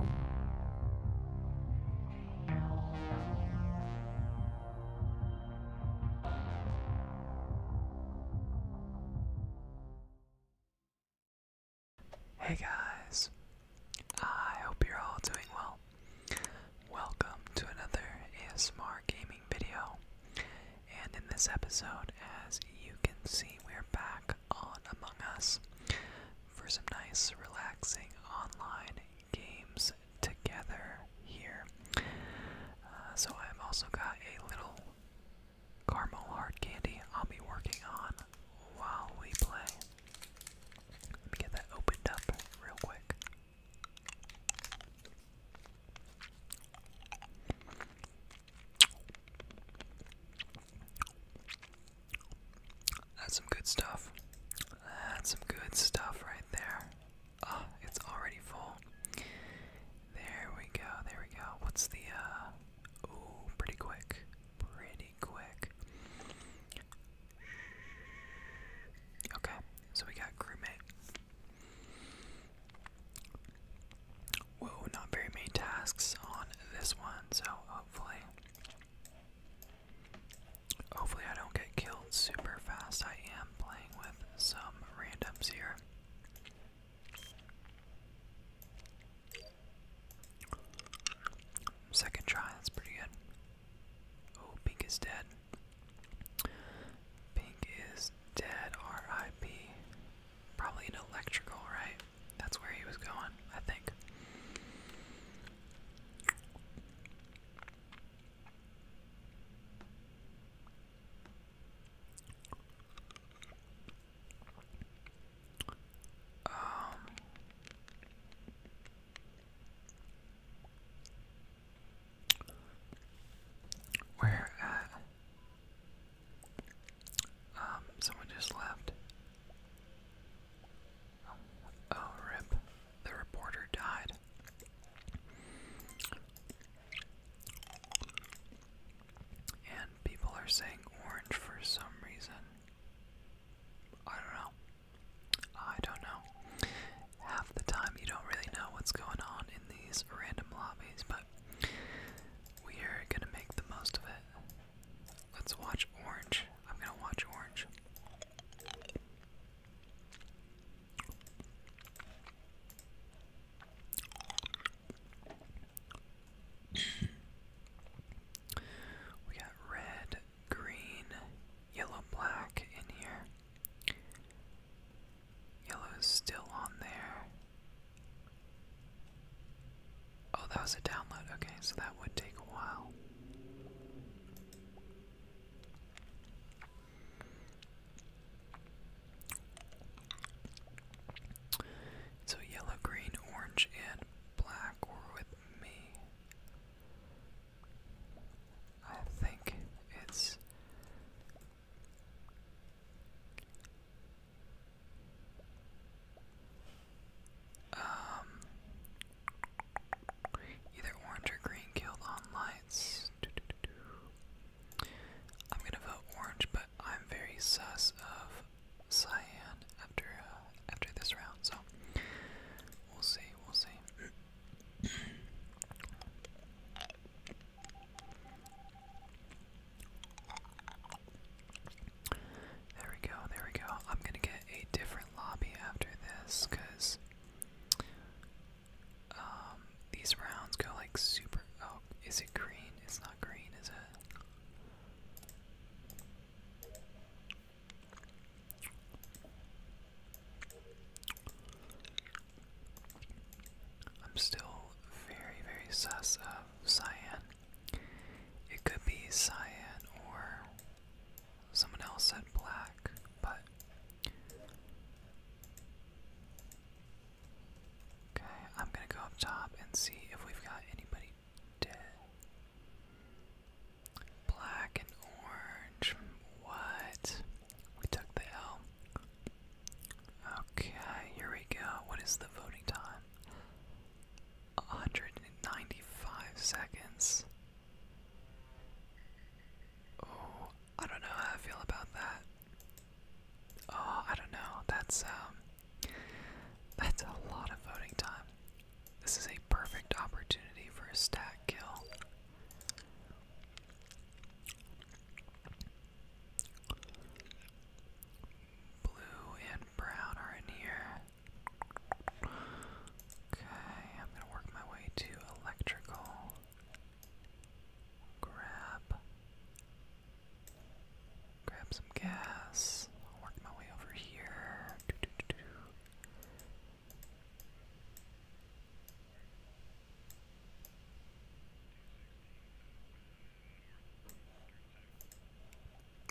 Hey guys, I hope you're all doing well. Welcome to another ASMR gaming video. And in this episode, as you can see, we're back on Among Us for some nice, relaxing online games together here. Uh, so, I've also got a little caramel hard candy I'll be working on while we play. Let me get that opened up real quick. That's some good stuff. That's some good stuff right there. Ah, it's already full. There we go, there we go. What's the, uh, ooh, pretty quick. Pretty quick. Okay, so we got crewmate. Whoa, not very many tasks on this one, so hopefully Hopefully, I don't get killed super fast. I am playing with some randoms here. Second try, that's pretty good. Oh, Pink is dead. Pink is dead, RIP. Probably an electrical, right? That's where he was going, I think. Um, where at? Um, someone just left. Oh, rip. The reporter died. And people are saying orange for some reason. I don't know. I don't know. Half the time you don't really know what's going on in these random lobbies, but we are going to make the most of it. Let's watch Orange. I'm gonna watch Orange. we got red, green, yellow, black in here. Yellow still on there. Oh, that was a download. Okay, so that would take a while. So yellow, green, orange, and black were with me. I think it's. Um, either orange or green killed on lights. I'm gonna vote orange, but I'm very sus of cyan after uh, after this round, so we'll see. We'll see. There we go, there we go. I'm gonna get a different lobby after this, because um, these rounds go like super. Oh, is it green? It's not green, is it? I'm still very, very sus of cyan. It could be cyan or Someone else said black, but. Okay, I'm gonna go up top and see if we've got anybody dead. Black and orange. What? We took the L. Okay, here we go. What is the voting time? 195 seconds. Oh, I don't know how I feel about that. Oh, I don't know. That's um that's a lot of voting time. This is a perfect opportunity for a stat kill. Blue and brown are in here. Okay, I'm gonna work my way to electrical. Grab. Grab some gas. I'll work my way over here.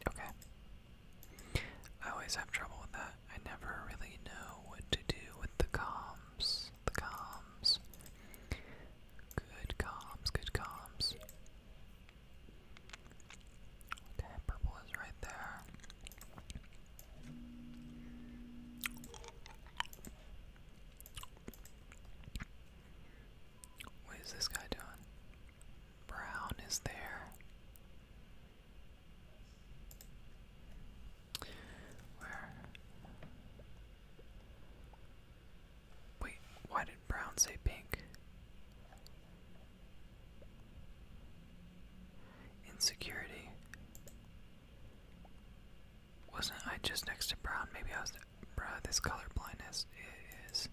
Okay. I always have trouble with that. I never really know what to do with the combs. The combs. Good combs. good combs. Okay, purple is right there. What is this guy doing? Brown is there. Wait, why did brown say pink? Insecurity. Wasn't I just next to brown? Maybe I was. this color blindness it is.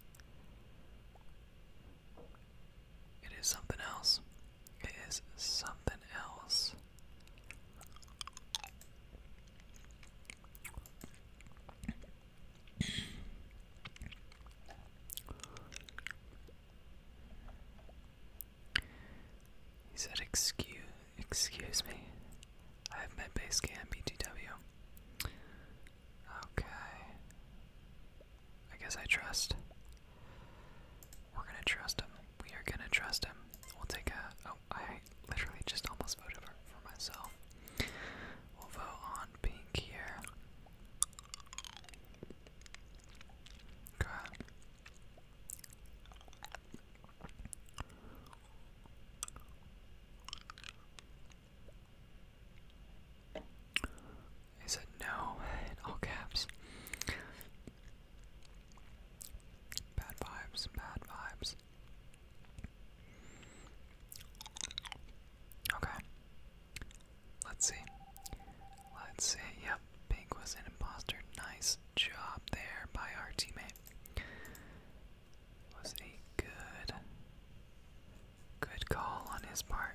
It is something else. Is something else. He said, "Excuse, excuse me. I have met base BTW." Okay. I guess I trust. We're gonna trust him. We are gonna trust him. We'll take a. Oh, I literally just almost voted for, myself. We'll vote on pink here. Go he said no in all caps. Bad vibes, bad vibes. Okay. Let's see. Let's see. Yep, Pink was an imposter. Nice job there by our teammate. Was a good good call on his part.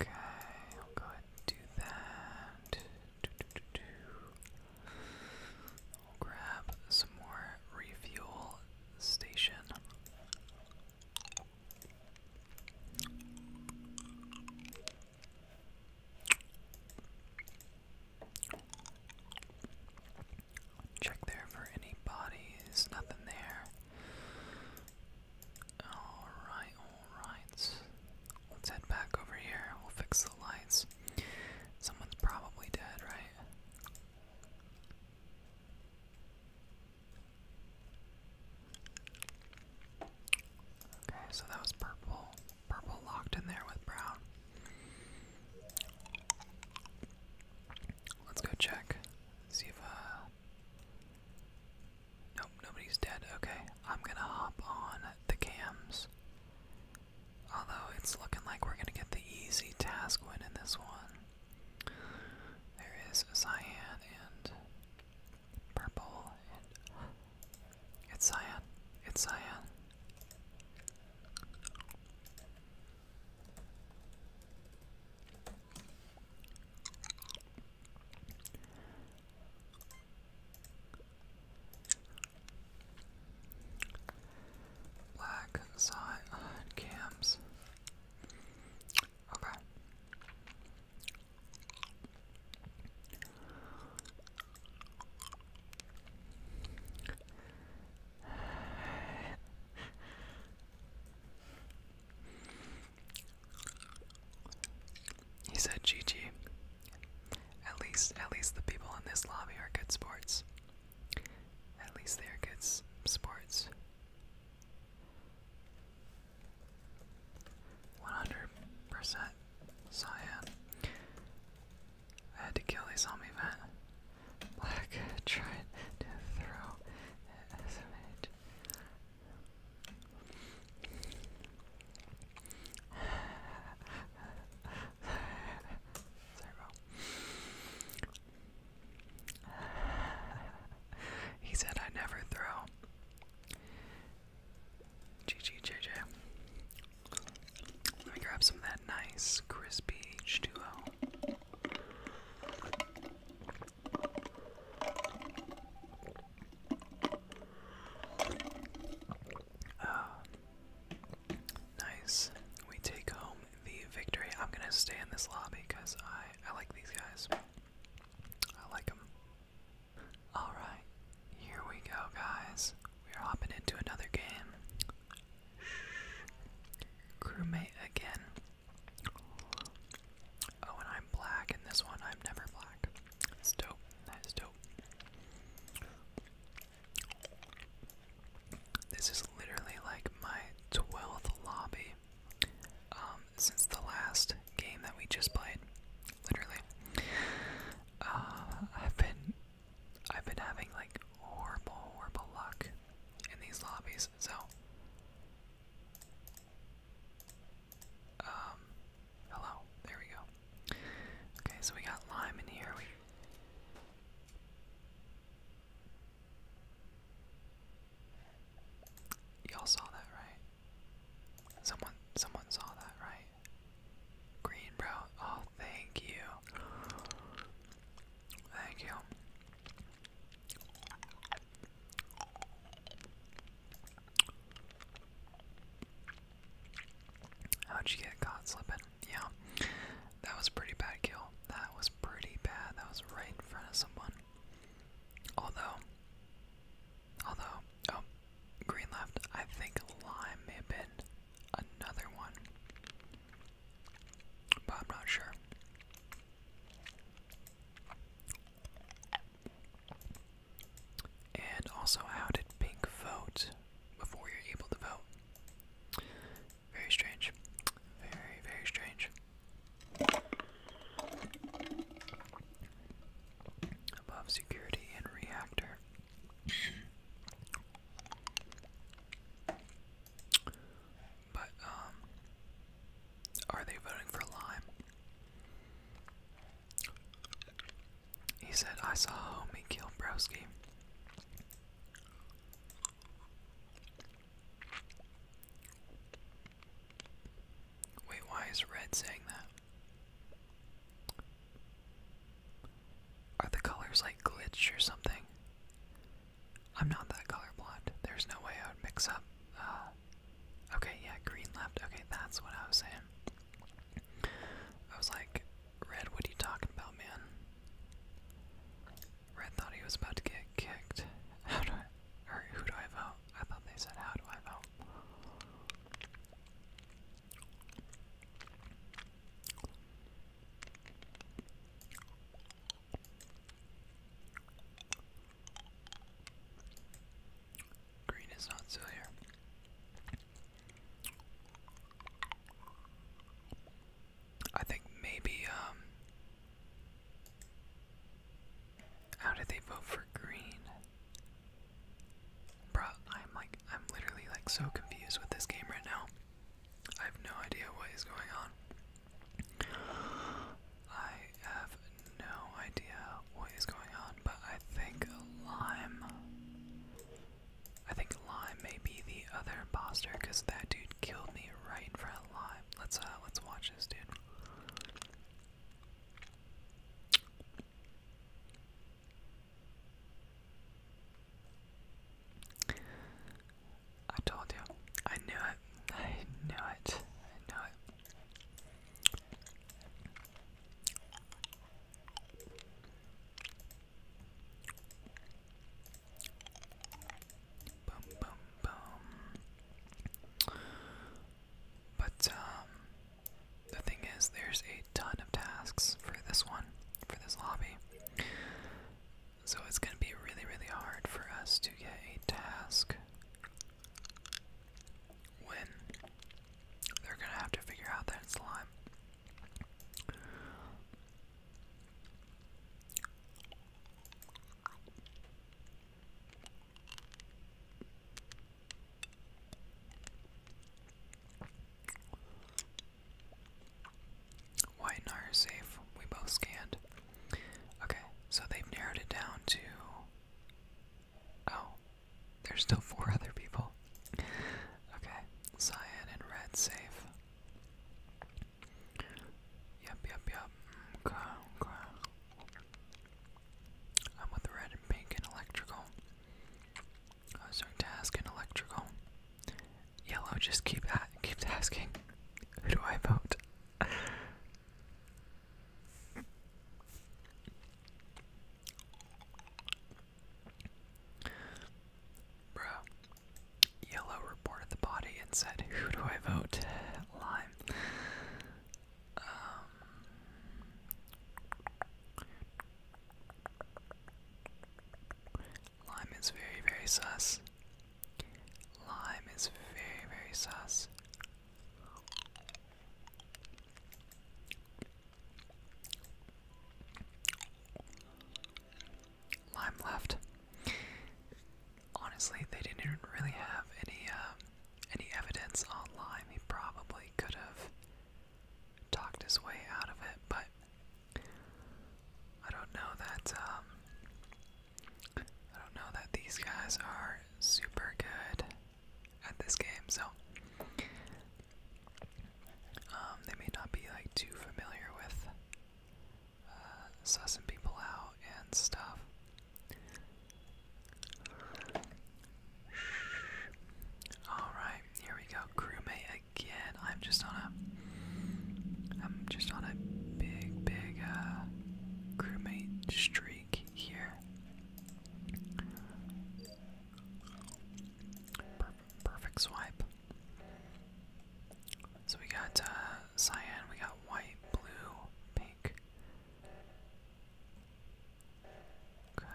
Okay, I'll go ahead and do that. I'll grab some more refuel station. Check there for any bodies, nothing there. Alright, alright. Let's head back over here. We'll fix the lights. Someone's probably dead, right? Okay, so that was purple. Purple locked in there with brown. Let's go check. See if, uh. Nope, nobody's dead. Okay, I'm gonna hop on the cams. Although it's looking like we're gonna get the easy task win in this one. There is cyan and purple and it's Cyan. It's Cyan. Black side on cams. Okay. He said GG. At least at least the people in this lobby are good sports. At least they are good sports. 100% cyan. I had to kill these zombie vent. Black tried to throw it as an he said I never throw. GG JJ. Let me grab some of that nice crispy h ah, nice. We take home the victory. I'm gonna stay in this lobby because I I like these guys. I like them. Alright, here we go, guys. We're hopping into another game. Crewmate again. Oh, and I'm black in this one. I'm never black. That's dope. That is dope. This is literally like my 12th lobby um, since the last game that we just played. Literally. Uh, I've been I've been having like horrible, horrible luck in these lobbies, so um hello, there we go. Okay, so we got lime in here. We Y'all saw that, right? Someone someone saw that, right? Green bro. Oh thank you. Thank you. How'd you get caught slipping? Yeah. That was pretty bad kill. That was pretty bad. That was right in front of someone. Although Although, oh, green left. I think lime may have been another one. But I'm not sure. And also, how did pink vote before you're able to vote? Very strange. Very, very strange above security and reactor. But, um, are they voting for Lime? He said, I saw homie kill Browski. Wait, why is Red saying that? Are the colors like glitched or something? I'm not that colorblind. There's no way I would mix up. Uh, okay, yeah, green left. Okay, that's what I was saying. I was like, Red, what are you talking about, man? Red thought he was about to get kicked. How do I. Or who do I vote? I thought they said, how do I vote? Green is not so here. I think maybe, um, how did they vote for green? Bro, I'm like, I'm literally like so confused with this game right now. I have no idea what is going on. I have no idea what is going on, but I think Lime. I think Lime may be the other imposter because that dude killed me right in front of Lime. Let's uh, let's watch this dude. I told you. I knew it. I knew it. I knew it. Boom, boom, boom. But, um, the thing is, there's a ton of tasks for this one, for this lobby. So it's going to be really, really hard for us to get a task when they're going to have to figure out that it's lime. White and I are safe. We both scanned. Okay, so they've narrowed it down to. Oh, there's still four other people. Okay, cyan and red safe. Yep, yep, yep. Okay, okay. I'm with red and pink and electrical. I was starting to ask an electrical. Yellow just keep at keeps asking, who do I vote? Bro. Yellow reported the body and said, Who do I vote? Lime. Um, Lime is very, very sus. Lime is very, very sus. Lime left. Honestly, they didn't really have any um, any evidence on Lime. He probably could have talked his way out of it, but I don't know that um I don't know that these guys are super good at this game, so um, they may not be like too familiar with uh, sussing people out and stuff. Alright, here we go. Crewmate again. I'm just on a I'm just on a big, big uh, crewmate streak here. perfect swipe. So we got uh, cyan, we got white, blue, pink. Okay.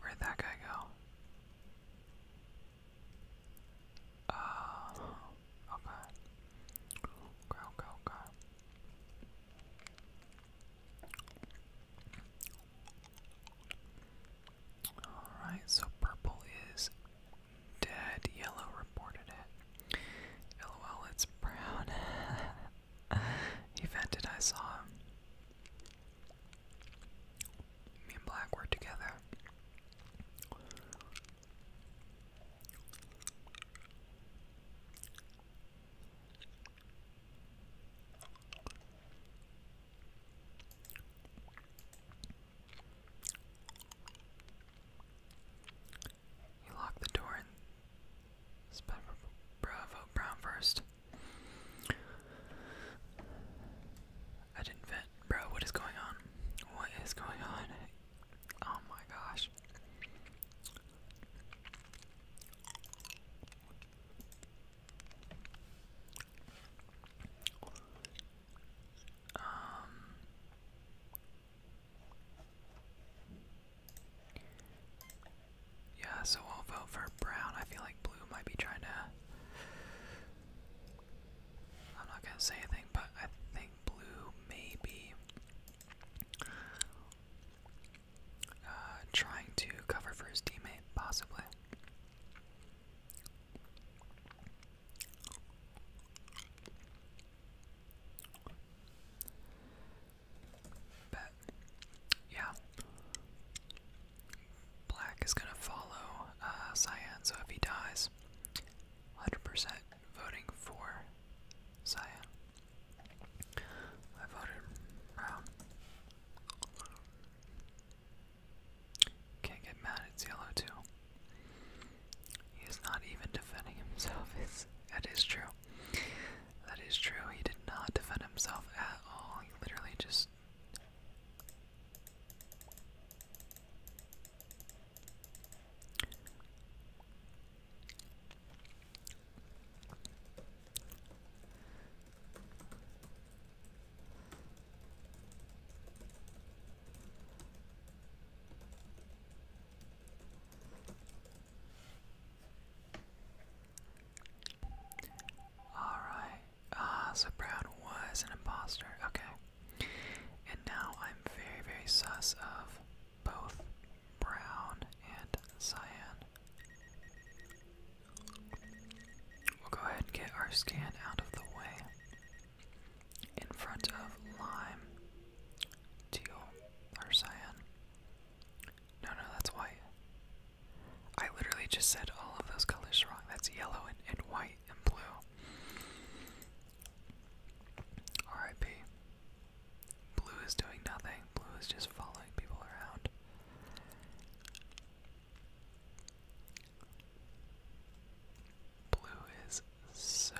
Where'd that guy go? Uh, okay. Okay, okay, okay. Alright, so purple is dead. Yellow reported it. LOL, it's brown. he vented, I saw him. Me and Black were together. He locked the door Bravo Brown first. I didn't vent. Bro, what is going on? What is going on? Oh my gosh. Um yeah, so I'll vote for brown. I feel like blue might be trying to. I'm not gonna say anything, but I think blue may uh, trying to cover for his teammate, possibly. But yeah. Black is gonna follow uh, Cyan, so if he dies, 100% voting for Cyan. I voted brown. Can't get mad, it's yellow too. He is not even defending himself, it's, that is true. That is true. He did not defend himself at all. He literally just. Alright. Ah, so Brown was an imposter. Okay. And now I'm very, very sus of both Brown and Cyan. We'll go ahead and get our scan out of the way. In front of Lime, Teal, or Cyan. No, no, that's white. I literally just said all of those colors wrong. That's yellow and, and white and blue. RIP. Blue is doing nothing. Blue is just following people around. Blue is so,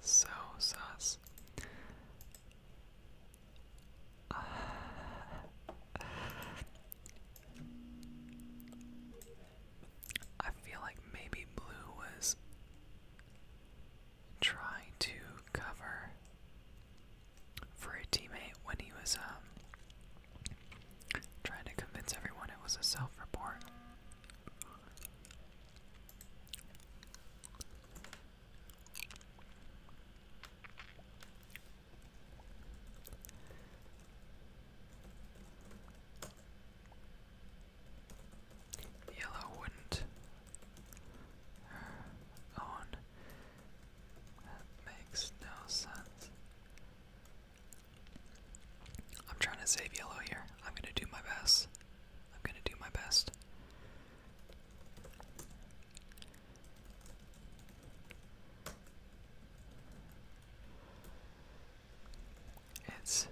so sus. I feel like maybe blue was trying to cover for a teammate when he was um, trying to convince everyone it was a self-report. Yellow wouldn't uh, own. That makes no sense. I'm trying to save yellow here. I'm going to do my best. I'm going to do my best. It's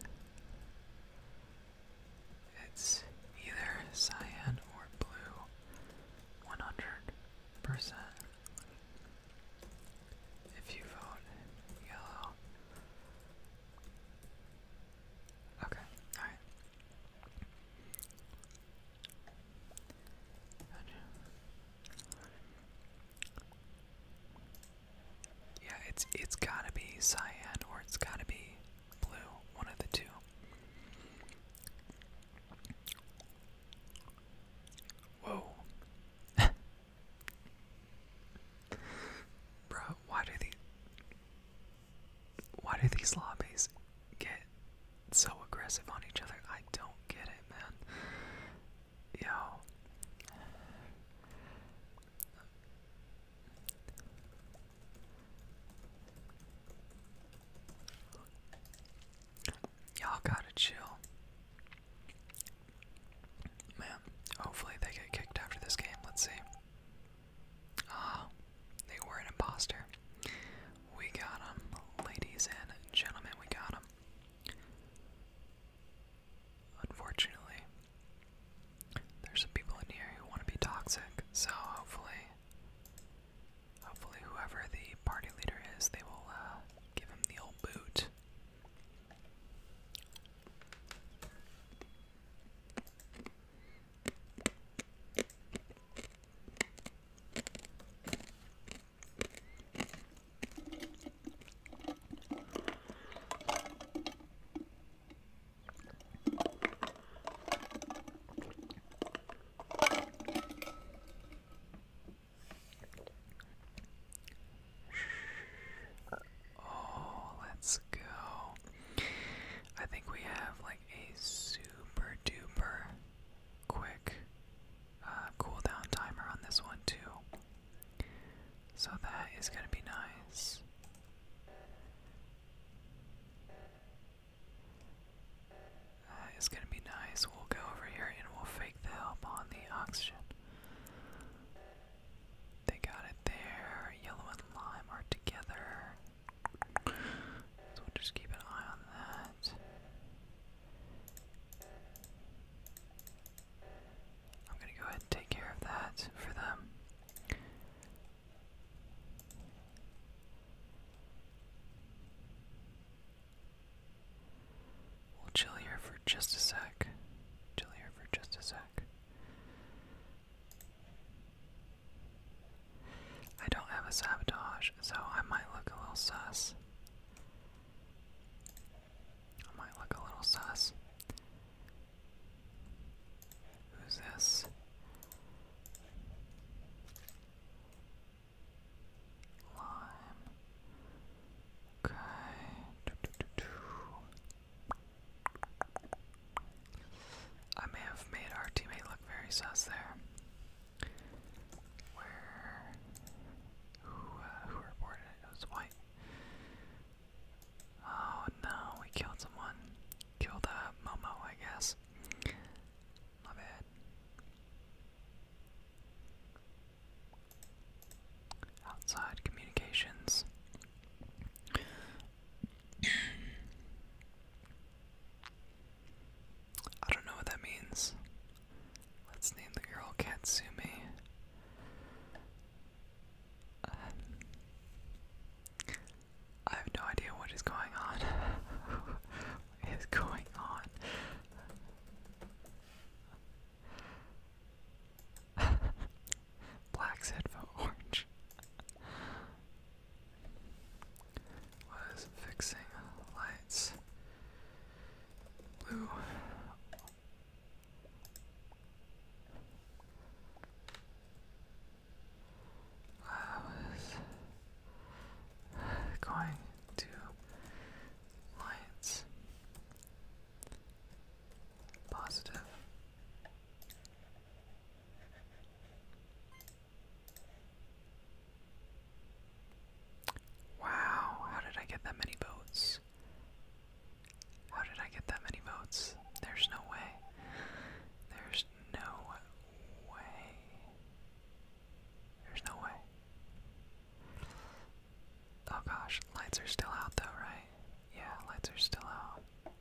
it's either cyan or blue, one hundred percent. If you vote yellow, okay, all right. Yeah, it's it's gotta be cyan or it's gotta be blue, one of the two. Whoa. Bro, why do these why do these lobbies get so aggressive on each other? I don't get it, man. Yo. Y'all gotta chill. Man, hopefully they get kicked after this game. Let's see. Ah, they were an imposter. We got him, ladies and gentlemen, we got him. Unfortunately, there's some people in here who want to be toxic, so hopefully, hopefully, whoever the party leader is, they will uh, give him the old boot. Oh, let's go. I think we have like a super duper quick uh, cooldown timer on this one too. So that is gonna be nice. That is gonna be nice. We'll go over here and we'll fake the help on the oxygen. They got it there. Yellow and lime are together. So we'll just keep an eye on that. I'm gonna go ahead and take care of that for them. We'll chill here for just a sec. Chill here for just a sec. I don't have a sabotage, so I might look a little sus. I might look a little sus. Who's this? Lime. Okay. I may have made our teammate look very sus there. Where who uh, who reported it? It was White. Oh no, we killed someone. Killed uh, Momo, I guess. My bad. Outside communications. I don't know what that means. Let's name the girl Katsumi. Um, I have no idea what is going on. what is going on? Black said for orange was fixing lights. Blue. I was going to lights. Positive. Wow, how did I get that many votes? How did I get that many votes? There's no way. There's no way. There's no way. Oh gosh, lights are still out though, right? Yeah, lights are still out.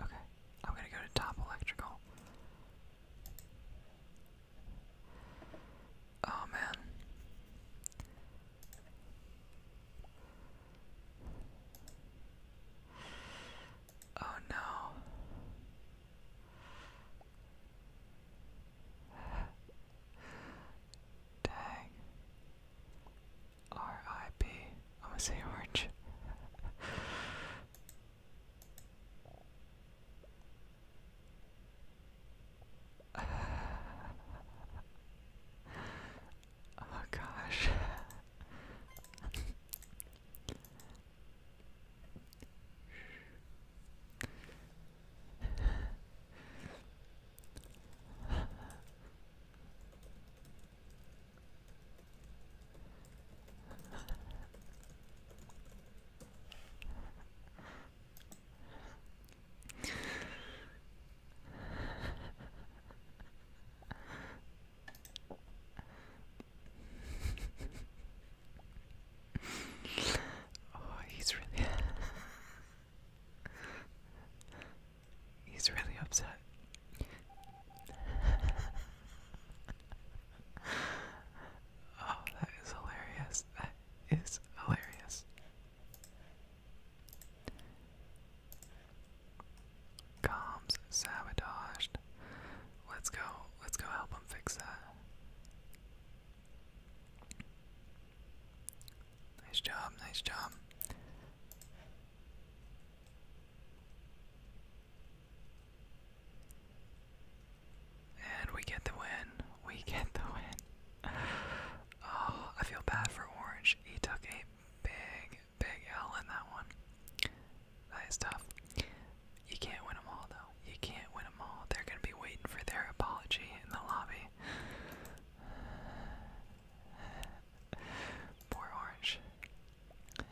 Okay, I'm gonna go to top electrical. Oh man. Oh no. Dang. R.I.P. I'm gonna say orange. oh gosh. oh, he's really. He's really upset. oh, that is hilarious. That is hilarious. Comms sabotaged. Let's go. Let's go help him fix that. Nice job, nice job. And we get the win. We get the win. Oh, I feel bad for Orange. He took a big, big L in that one. That is tough. You can't win them all, though. You can't win them all. They're going to be waiting for their apology in the lobby. Poor orange. oh,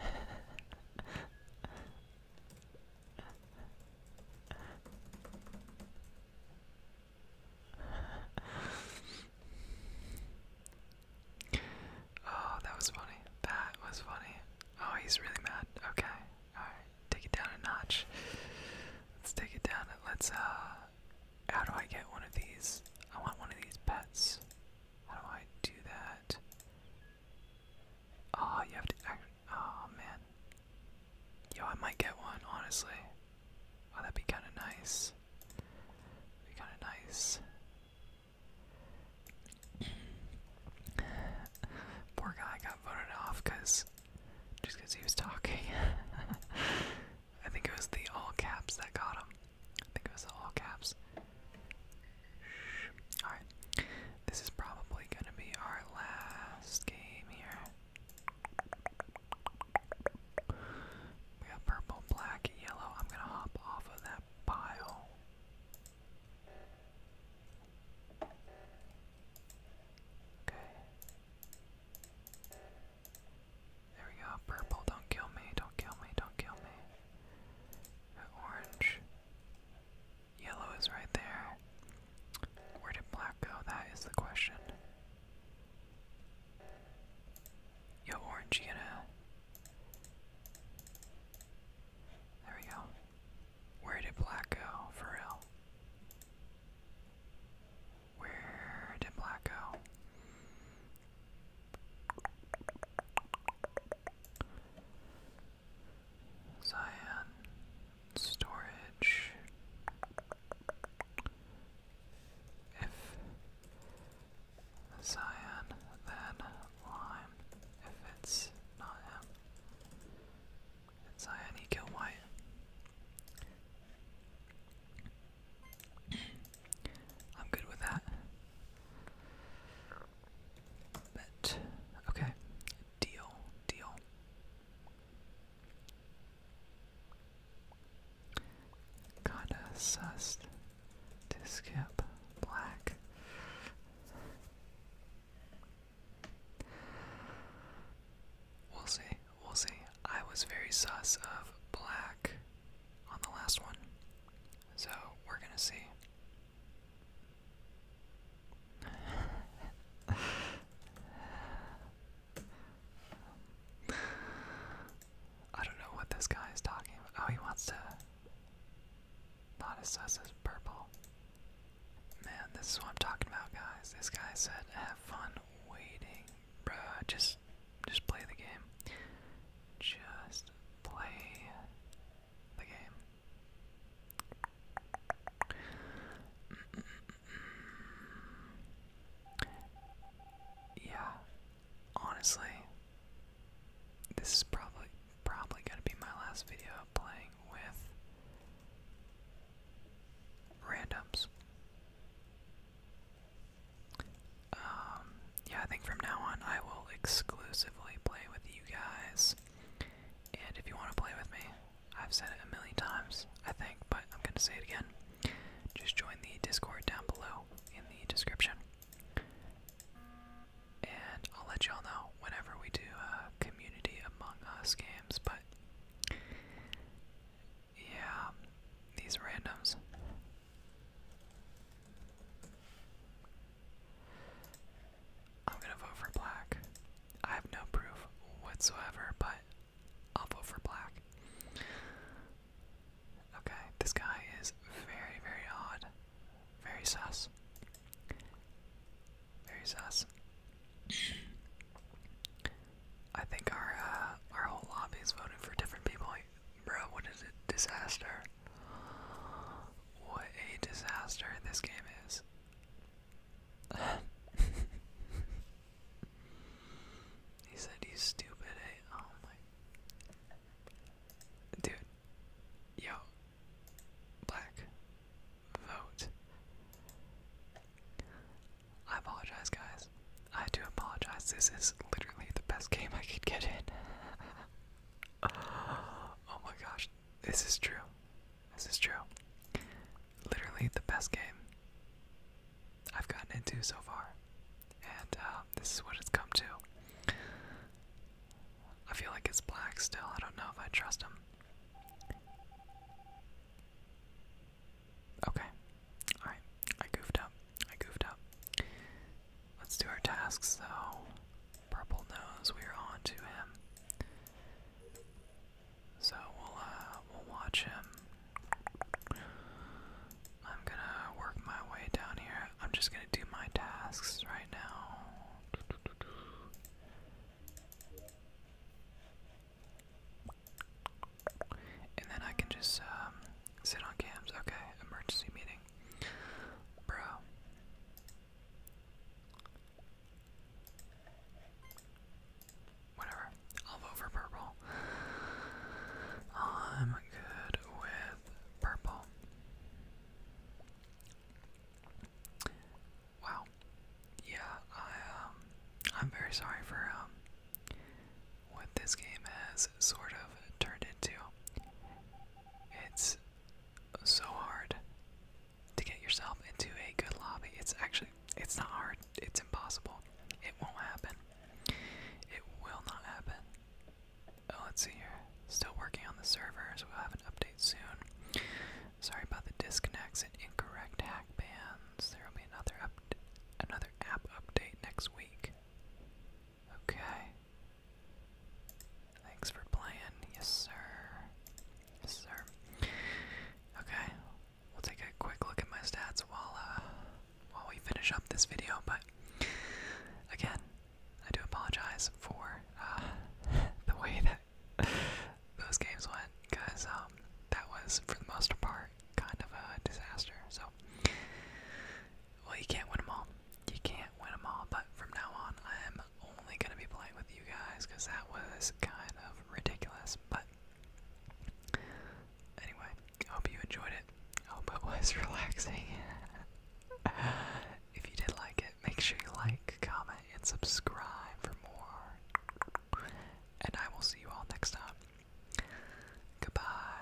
that was funny. That was funny. Oh, he's really mad. Okay. Alright. Take it down a notch. Let's take it down. Let's, uh. How do I get one of these? I want one of these pets. How do I do that? Ah, oh, you have to act. Oh man. Yo, I might get one, honestly. Oh, that'd be kind of nice. be kind of nice. Poor guy got voted off because just because he was talking. I think it was the all caps that got him. I think it was all caps. Alright. This is probably gonna be our last game here. We got purple, black, yellow. I'm gonna hop off of that pile. There we go. Purple, don't kill me, don't kill me, don't kill me. Orange. Yellow is right there. Where did black go? That is the question. Yo, orange, you know? There we go. Where did black go? For real. Where did black go? Zion storage. If Zion, then Lime. If it's not him, it's Zion, he killed White. I'm good with that. Bet. Okay. Deal. Deal. Kinda sussed to skip black. We'll see. We'll see. I was very sus of black on the last one. So we're gonna see. I don't know what this guy is talking about. Oh, he wants to not assess purple. Man, this is what I'm talking about, guys. This guy said, "Have fun waiting, bruh. Just, just play the game." just play the game. Yeah, honestly, this is probably probably gonna be my last video playing with randoms. Um, yeah, I think from now on I will exclusively play with you guys. And if you want to play with me, I've said it a million times, I think, but I'm going to say it again. Just join the Discord down below in the description. And I'll let y'all know whenever we do a Community Among Us games, but yeah, these randoms. I'm gonna vote for black. I have no proof whatsoever, but I'll vote for black. Okay, this guy is very, very odd. Very sus. Very sus. I think our uh, our whole lobby is voting for different people Bro, what is it? Disaster. What a disaster this game is. he said he's stupid, eh? Oh my. Dude. Yo. Black. Vote. I apologize, guys. I do apologize. This is literally the best game I could get in. oh my gosh, this is true. This is true. Literally the best game I've gotten into so far, and uh, this is what it's come to. I feel like it's black still. I don't know if I trust him. Okay. Alright. I goofed up. I goofed up. Let's do our tasks though. Purple knows we're on to him. So we'll uh, we'll watch him. I'm gonna work my way down here. I'm just gonna do my tasks right now. And then I can just um, Sit on cams. Okay, emergency meeting. Bro. Whatever. I'll purple. I'm good with purple. Wow. Yeah, I um, I'm very sorry for um what this game has sort of turned into. It's so hard to get yourself into a good lobby. It's actually, it's not hard, it's impossible. It won't happen. It will not happen. Oh, let's see here. Still working on the servers. We'll have an update soon. Sorry about the disconnects and incorrect hack bans. There will be another up another app update next week. Okay. Thanks for playing. Yes, sir. Yes, sir. Okay. We'll take a quick look at my stats while uh, while we finish up this video. But again, I do apologize for uh, the way that those games went, because um, that was for the most part kind of a disaster. So well, you can't win them all. You can't win them all, but from now on, I'm only going to be playing with you guys because that was kind of ridiculous. But anyway, hope you enjoyed it. Hope it was relaxing. if you did like it, make sure you like, comment, and subscribe for more. And I will see you all next time. Goodbye.